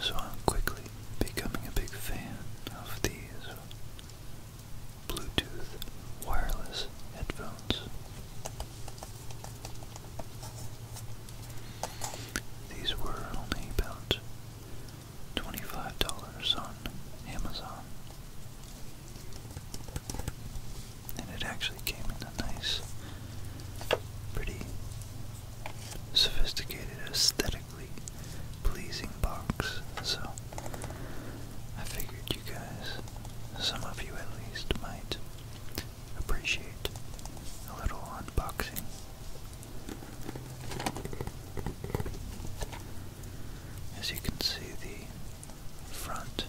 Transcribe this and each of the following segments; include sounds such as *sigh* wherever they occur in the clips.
So I'm quickly becoming a big fan of these Bluetooth wireless headphones. These were only about $25 on Amazon. And it actually came in a nice, pretty sophisticated, aesthetically pleasing box. So I figured you guys, some of you at least, might appreciate a little unboxing. As you can see, the front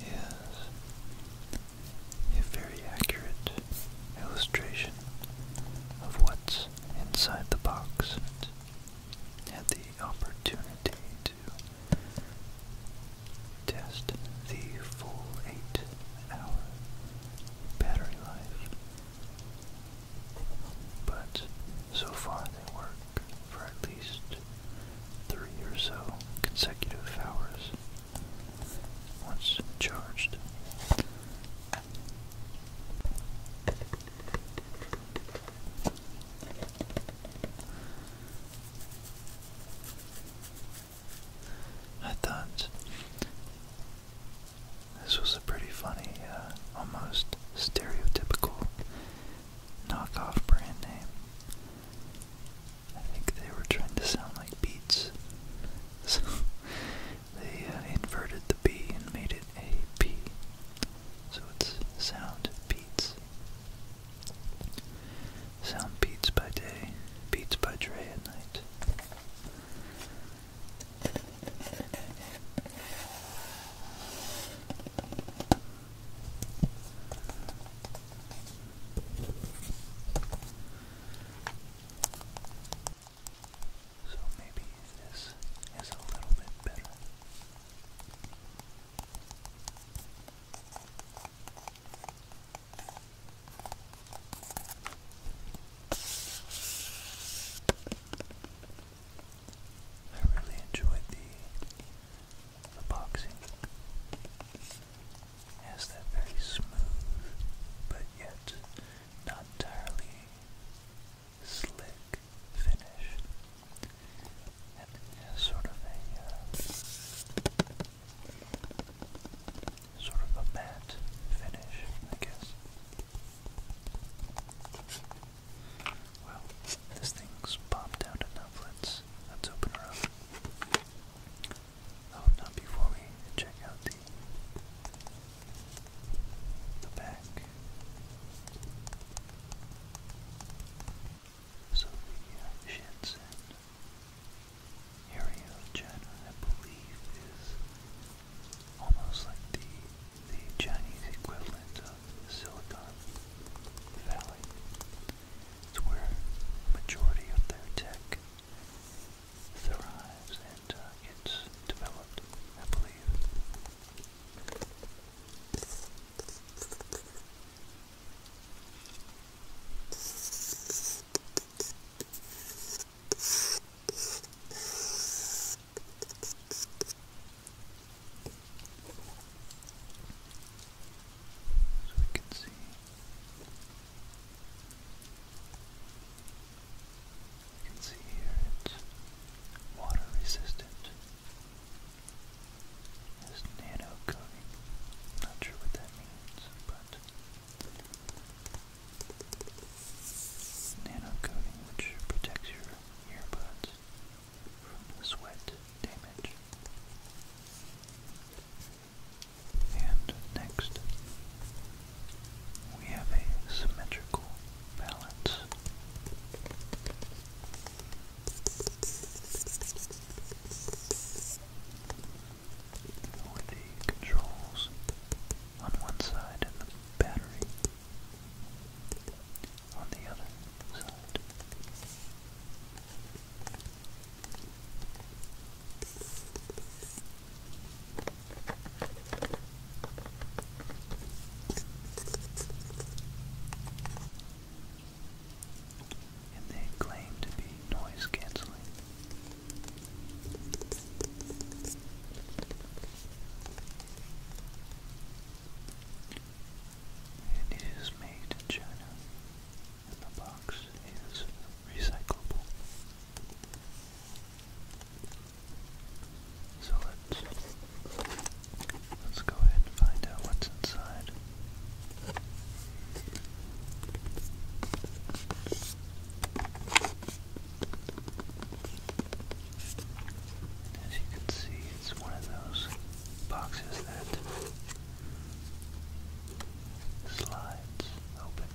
is a very accurate illustration of what's inside the box. Had the opportunity to to test the full 8 hour battery life. But so far they work for at least 3 or so consecutive hours once charged. I thought this was a pretty funny, uh, almost stereotypical knockoff brand name. I think they were trying to sound like beats, *laughs* so they uh, inverted the B and made it a P. So it's sound beats. Sound beats by day, beats by Dre at night. So maybe this is a little bit better. I really enjoyed the the has that very smooth, but yet not entirely slick finish sort of a uh, sort of a matte finish, I guess. Well, this thing's popped out enough. let let's open her up. Oh, not before we check out the the back. Sophia Shenson, Ariel Jenner, I believe, is almost like the the Chinese equivalent of Silicon Valley. It's where the majority of their tech thrives and uh, gets developed, I believe. So we can see we can see here it's water resistant this nano coating. Not sure what that means, but nano coating which protects your earbuds from sweat damage. And next, we have a symmetrical balance with the controls on one side and the battery on the other side and they claim to be noise canceling. And it is made in China, and the box is recyclable. So let's Let's go ahead and find out what's inside. As you can see, it's one of those boxes that slides open.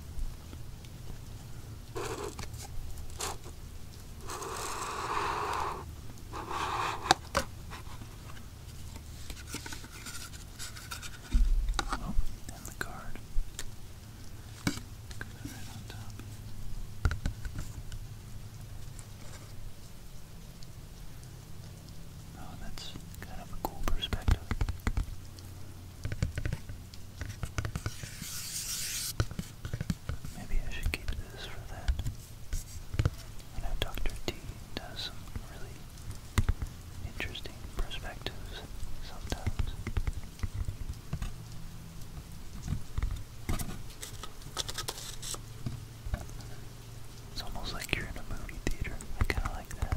Oh, and the card. right on top. Oh, that's kind of a cool perspective. Maybe I should keep this for that. I Dr. T does some really interesting perspectives sometimes. It's almost like you're in a movie theater. I kind of like that.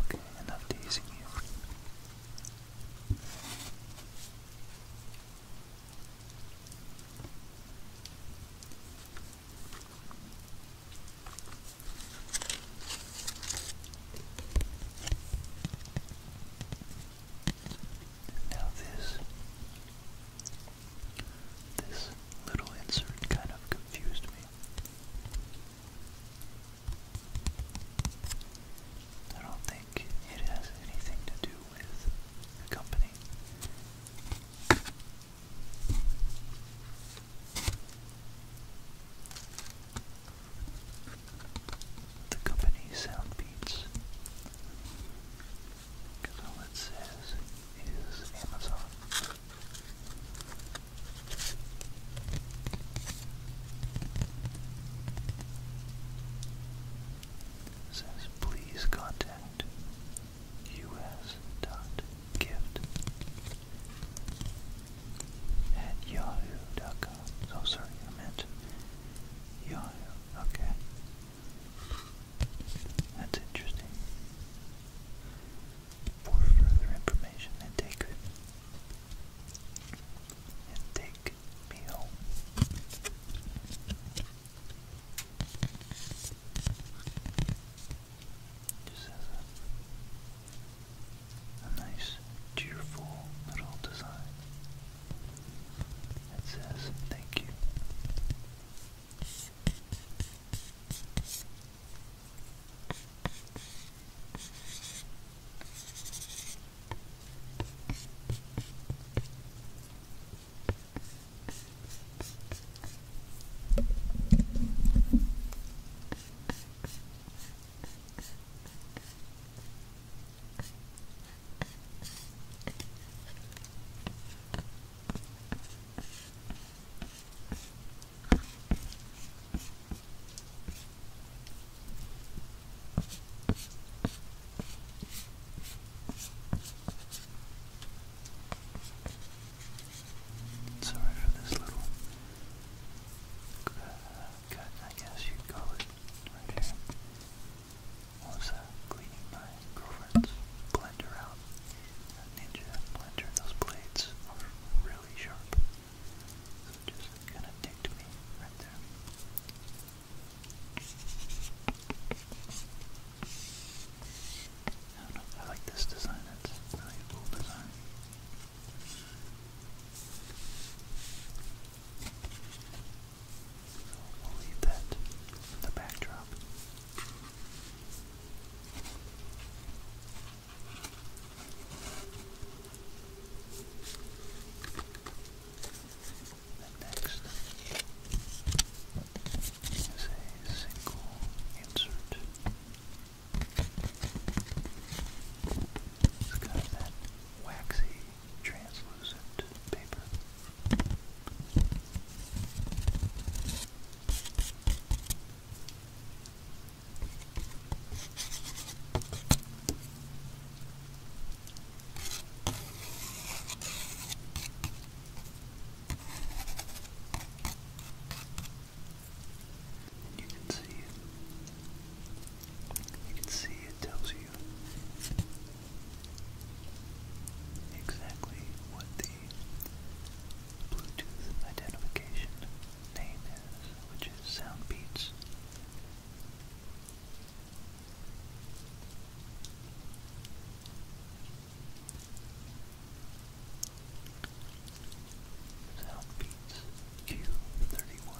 Okay, enough teasing you. Now this this little insert kind of confused me. I don't think it has anything to do with the company. The company Sound it says is Amazon. says please contact us.gift at yahoo.com. Oh, sorry, I meant yahoo. Okay. That's interesting. For further information and take and take me home. Just has a nice, cheerful little design that says thank you. Sorry for this little uh, cut, I guess you'd call it, right also cleaning my girlfriend's blender out. A ninja blender, those blades are really sharp. So it just kinda me right there. I like this design, it's really cool design we'll leave that in the backdrop. next is a single insert. It's got that waxy translucent paper. you can see You can see it tells you exactly what the Bluetooth identification name is, which is Sound Beats. Sound Beats Q31.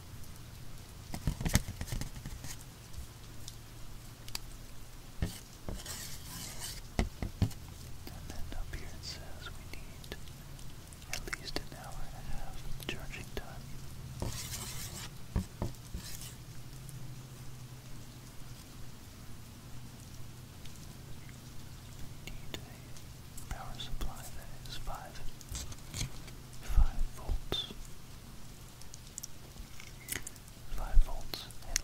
And then up here it says we need at least an hour and a half of charging time. need a power supply that is 5 5 volts. 5 volts and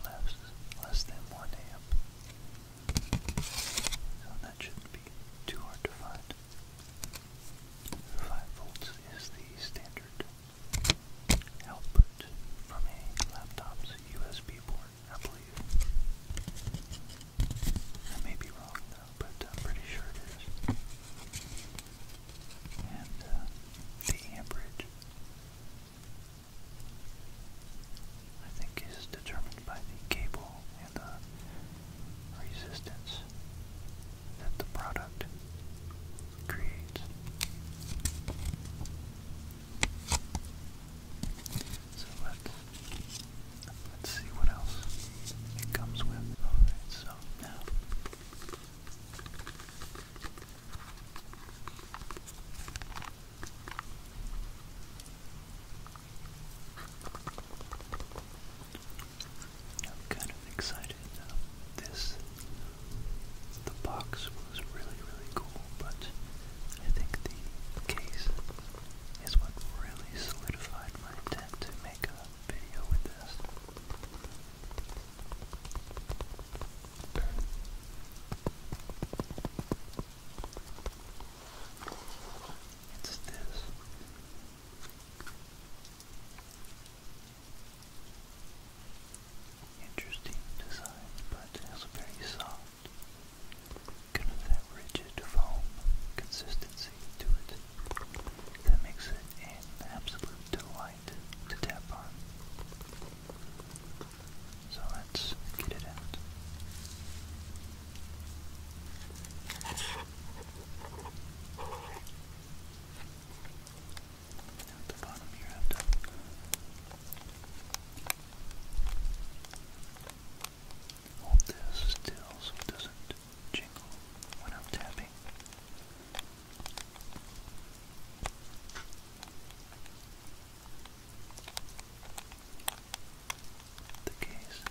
less, than 1 amp. So that shouldn't be too hard to find. 5 volts is the standard output from a laptop's USB port, I believe. I may be wrong but I'm pretty sure it is. And uh, the amperage, I think, is determined by the cable and the resistance that the product creates. So let's Let's see what else it comes with. so now I'm kind of excited. this the box was really really cool, but I think the case is what really solidified my intent to make a video with this. It's this. Interesting design, but has a very soft, kind of that rigid foam consistency to it that makes it an absolute delight to tap on. So let's get it out. Now the bottom here, I Hold this still so it doesn't jingle when I'm tapping. The case.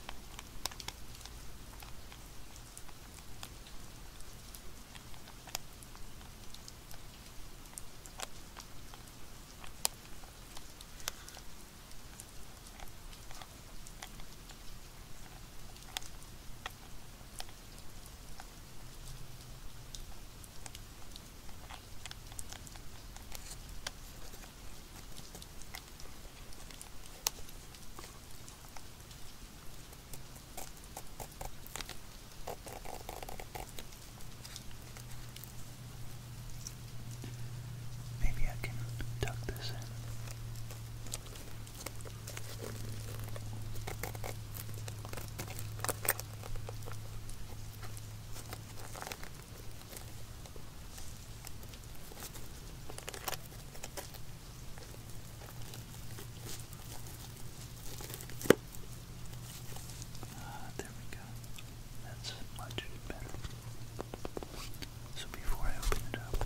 Maybe I can tuck this in. Ah, there we go. That's much better. So before I open it up,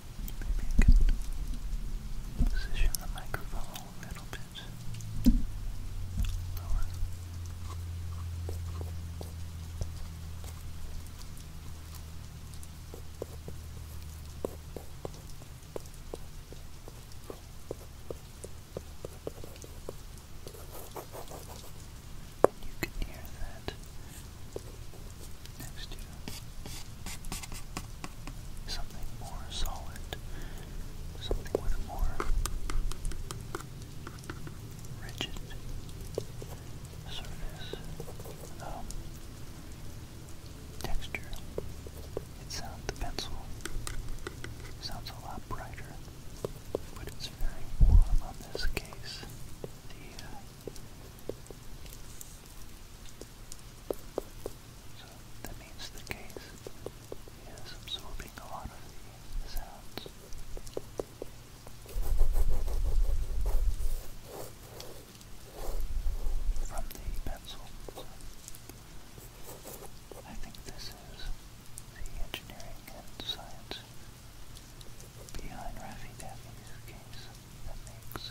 Maybe I can position the microphone a little bit You can hear that next to you something more solid, something with more rigid surface, um, texture. It sounds the pencil sounds a lot brighter, but it's very warm on this case. Uh, so that means the case is absorbing a lot of the sounds. From the pencil. I think this is the engineering and science behind Raffy Daffy's case that makes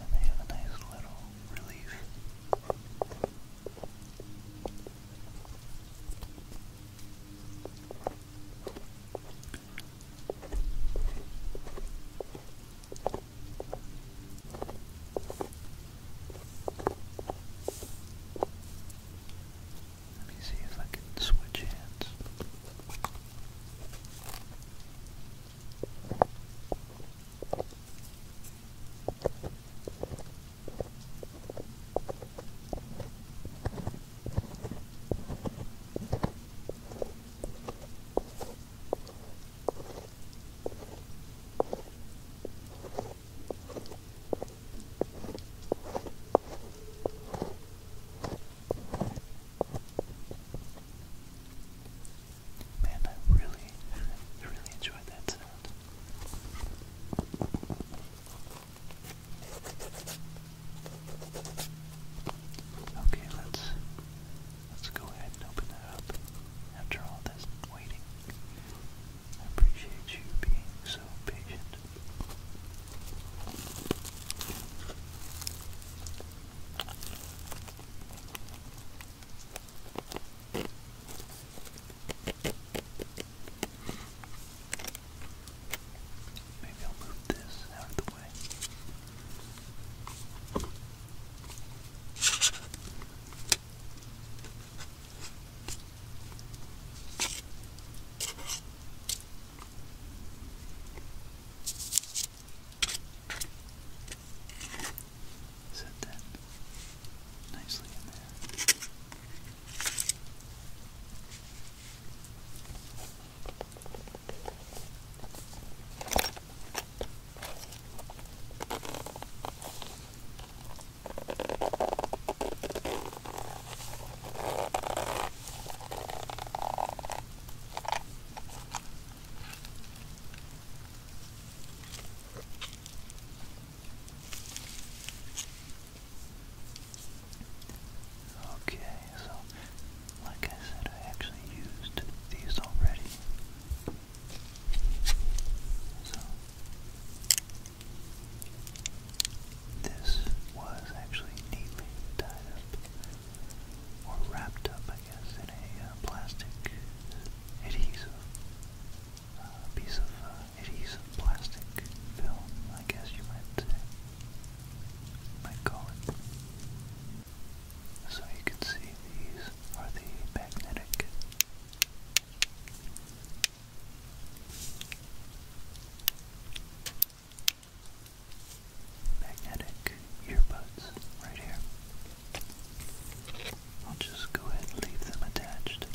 And they have a nice little relief. Let me see if I can switch hands. Man, I really, really enjoyed that sound. Okay, let's let's go ahead and open that up. After all this waiting, I appreciate you being so patient Maybe I'll move this out of the way. Set that nicely in there. Okay, so like I said, I actually used these already. So this was actually neatly tied up, or wrapped up, I guess, in a uh, plastic adhesive, uh, piece of uh, adhesive plastic film, I guess you might, might call it. So you can see these are the magnetic Magnetic earbuds right here. I'll just go ahead and leave them attached.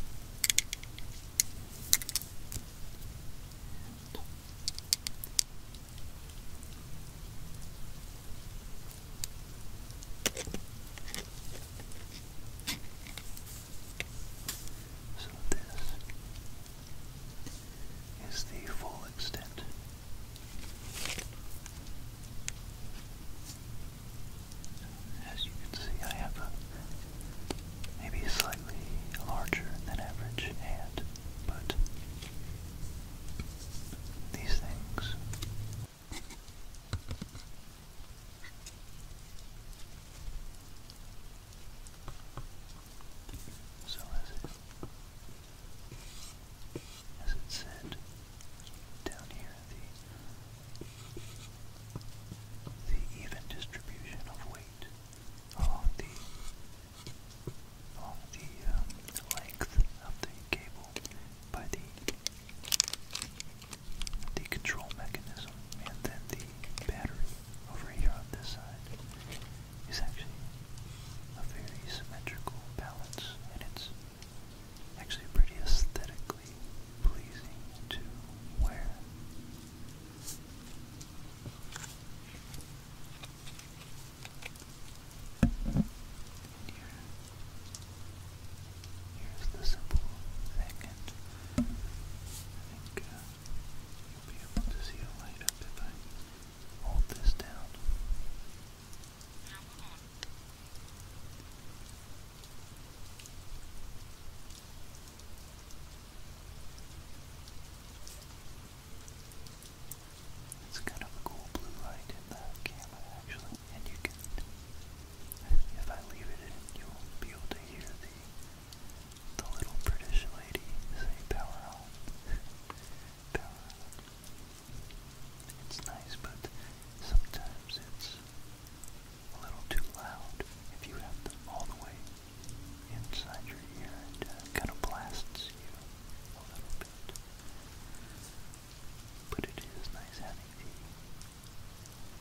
So this is the full extent. As you can see, I have a maybe slightly larger than average hand, but these things so as it, as it said down here, the, even distribution of weight along the along the um, length of the cable by the the control mechanism and then the battery over here on this side is actually a very symmetrical balance and it's actually pretty aesthetically pleasing to wear. And here, here's the simple thing, and I think uh, You'll be able to see a light if I hold this down. It's kind of a cool blue light in the camera actually, and you can, if I leave it you'll be able to hear the the little British lady say power *laughs* on. It's nice, but sometimes it's a little too loud if you have them all the way inside your ear and uh, kind of blasts you a little bit. But it is nice having the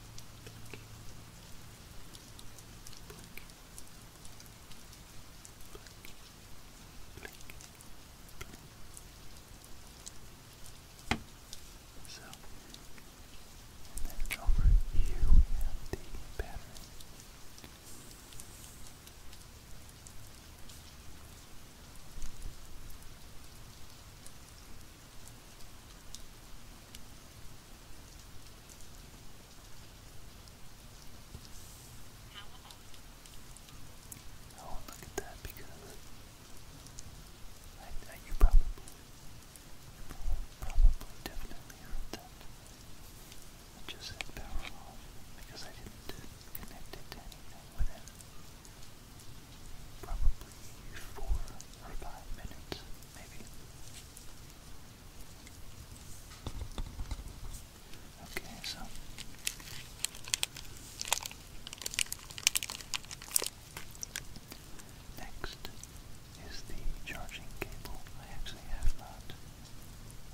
blink, blink, blink, blink. So, and then over here we have the pattern. I oh, won't look at that because I, I you probably, probably, definitely heard that. I just said power because I didn't connect it to anything with probably four or five minutes, maybe. Okay, so. Next is the charging cable. I actually have not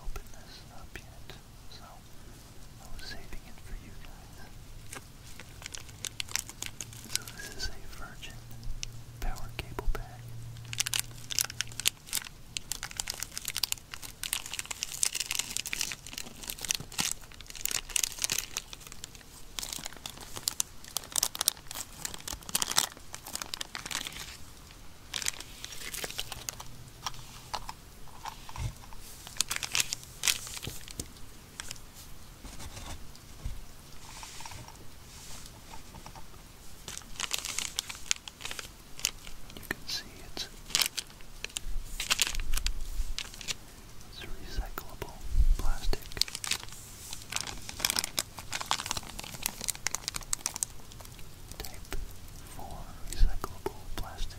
opened this up yet, so I was saving it for you guys. So this is a Virgin power cable bag. You can see it's, it's recyclable plastic. Type 4 recyclable plastic.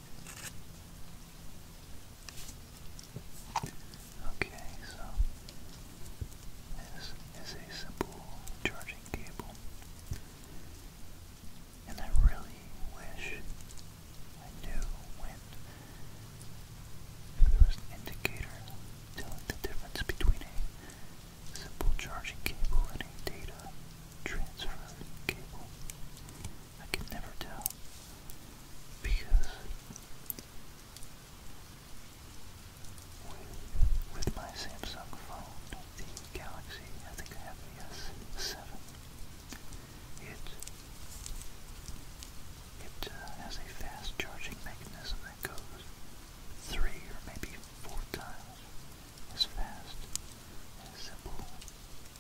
Okay, so this is a simple charging cable. And I really wish I knew when there was indicator telling the difference between a simple charging cable and a data transfer cable. I can never tell because with, my Samsung phone, the Galaxy, S7, it, it uh, has a fast charging mechanism that goes three or maybe four times is fast and simple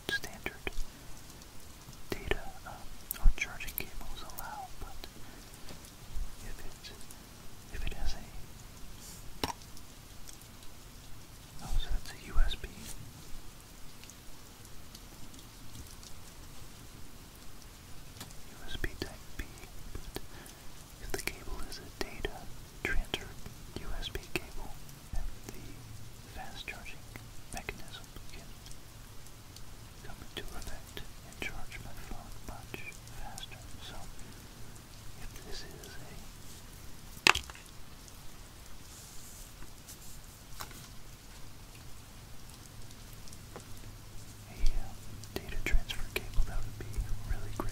standard data uh, charging cables allow, but if it, if it has a, oh, so that's a USB. USB type B, but if the cable is a data transfer USB cable, and the fast charging mechanism can come into effect and charge my phone much faster. So if this is a um, data transfer cable, that would be really great.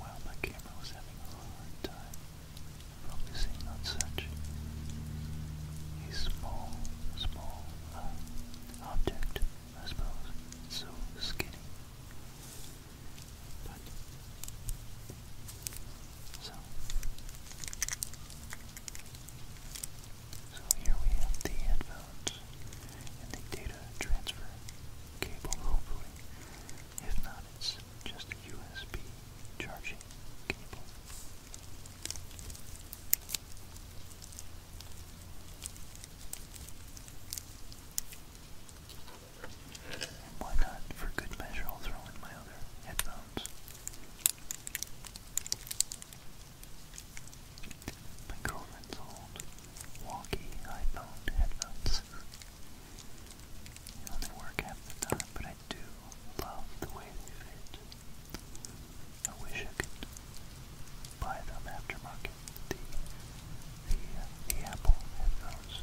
Wow, my camera was having a hard time focusing on such a small, small uh, object, I suppose. It's so skinny. But so, so here we have the headphones and the data transfer cable, hopefully. If not, it's just a USB charging cable why not, for good measure, I'll throw in my other headphones. My girlfriend's old walkie iPhone headphones. You know, work half the time, but I do love the way they fit. I wish I could buy them aftermarket, the, the, the Apple headphones.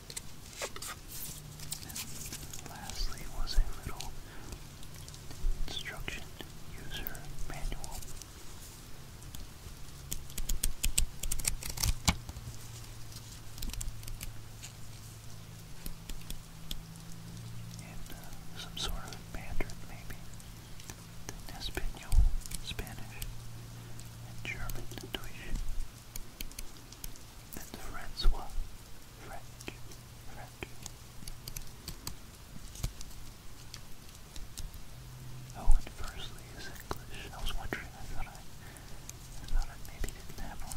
And lastly was a little instruction user manual. And uh, some sort of Mandarin, maybe. Espanol, Spanish, and German, Deutsch and Francois French. French. Oh, and firstly is English. I was wondering, I thought I, I thought I maybe didn't have one.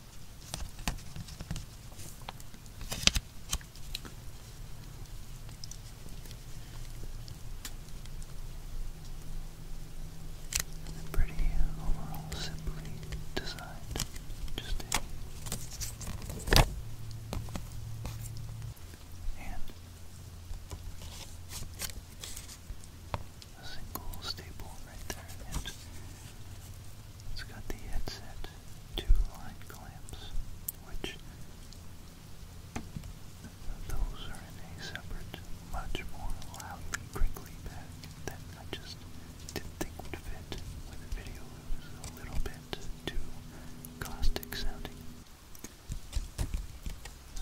And a pretty overall simply designed. Just a and a single staple right there and it's got the headset, two line clamps, which those are in a separate, much more loudly crinkly bag that I just didn't think would fit the video. It a little bit too caustic sounding.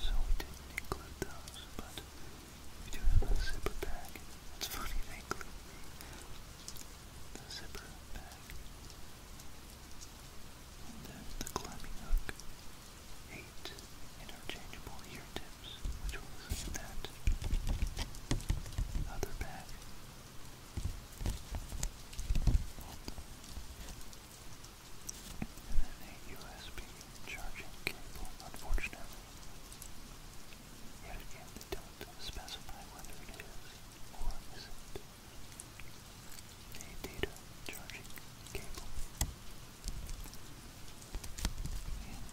So we did include those, but we do have a zipper bag. It's funny, they include the the zipper bag, and then the climbing hook. Eight interchangeable ear tips, which was that other bag. And then a USB charging cable, unfortunately. Yet again, they don't specify whether it is or isn't a data charging cable. And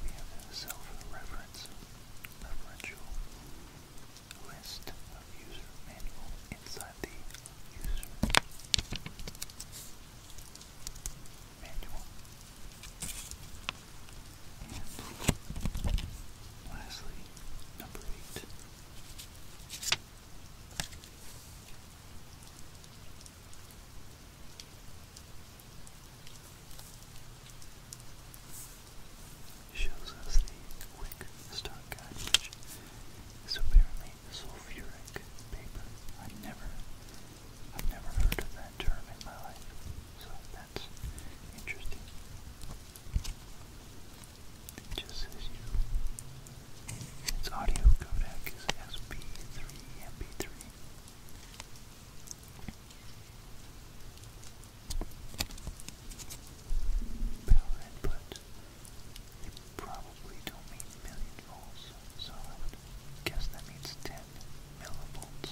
we have a self-reference referential list of user manual inside the user manual. And lastly, number eight. Shows us the quick start guide, which apparently sulfuric paper. I never, I've never heard of that term in my life. So that's interesting. just says you. Its audio codec is SP3 MP3. Power input. They probably don't mean million volts, so I guess that means 10 millivolts.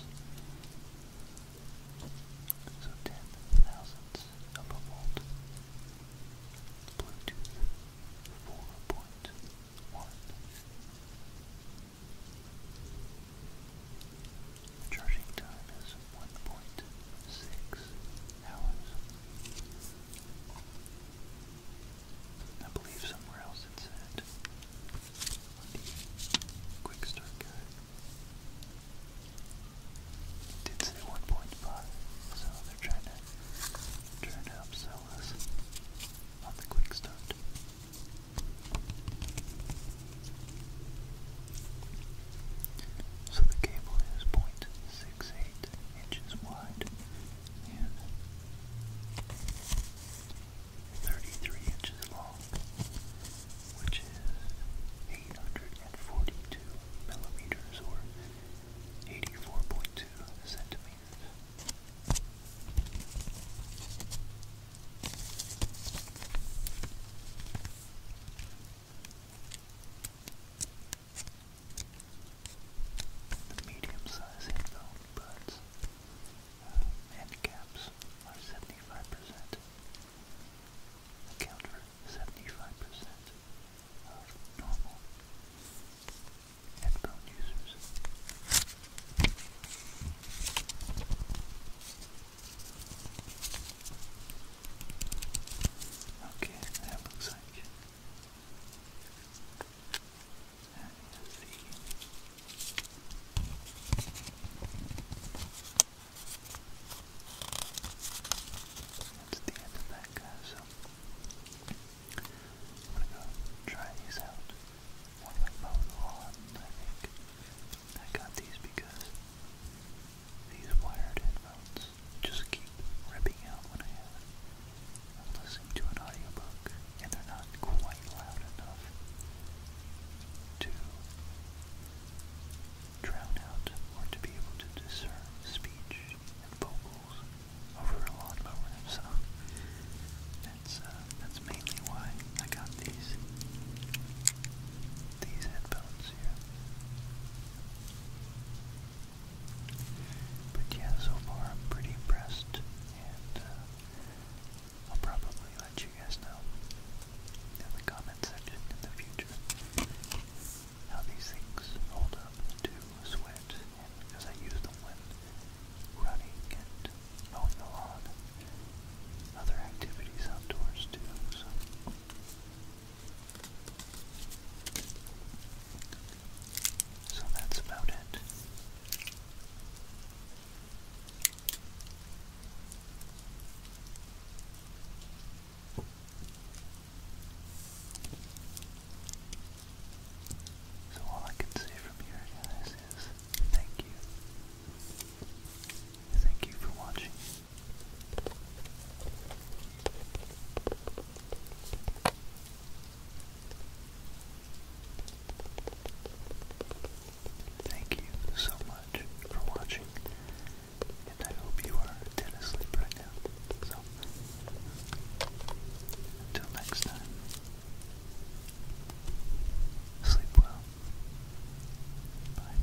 So ten thousandths of a volt. Bluetooth four point one. Charging time is one point six hours. I believe somewhere else it said the quick start guide. did say 1.5, so they're trying to trying to upsell on the quick start. So the cable is 0.68 inches wide and 33 inches long which is 842 millimeters or 84.2 centimeters. The medium size headphone buds uh, are 75%, account for 75% of normal headphone users. Okay, that looks like it. That is the that's the end of that, guys. So I'm gonna go try these out. One of my phone on, I think. I got these because these wired headphones just keep ripping out when I am listening to an audiobook and they're not quite loud enough to drown out or to be able to discern speech and vocals over a lawnmower. So that's uh, that's mainly why I got these these headphones here. But yeah, so far I'm pretty impressed, uh, I'll probably let you guys know in the comment section in the future how these things hold up to sweat because I use them when running and mowing the lawn, other activities outdoors too. So. that's about it. So all I can say from here, guys, is thank you. Thank you for watching. Thank you so much for watching, and I hope you are dead asleep right now. So, until next time, sleep well. Bye.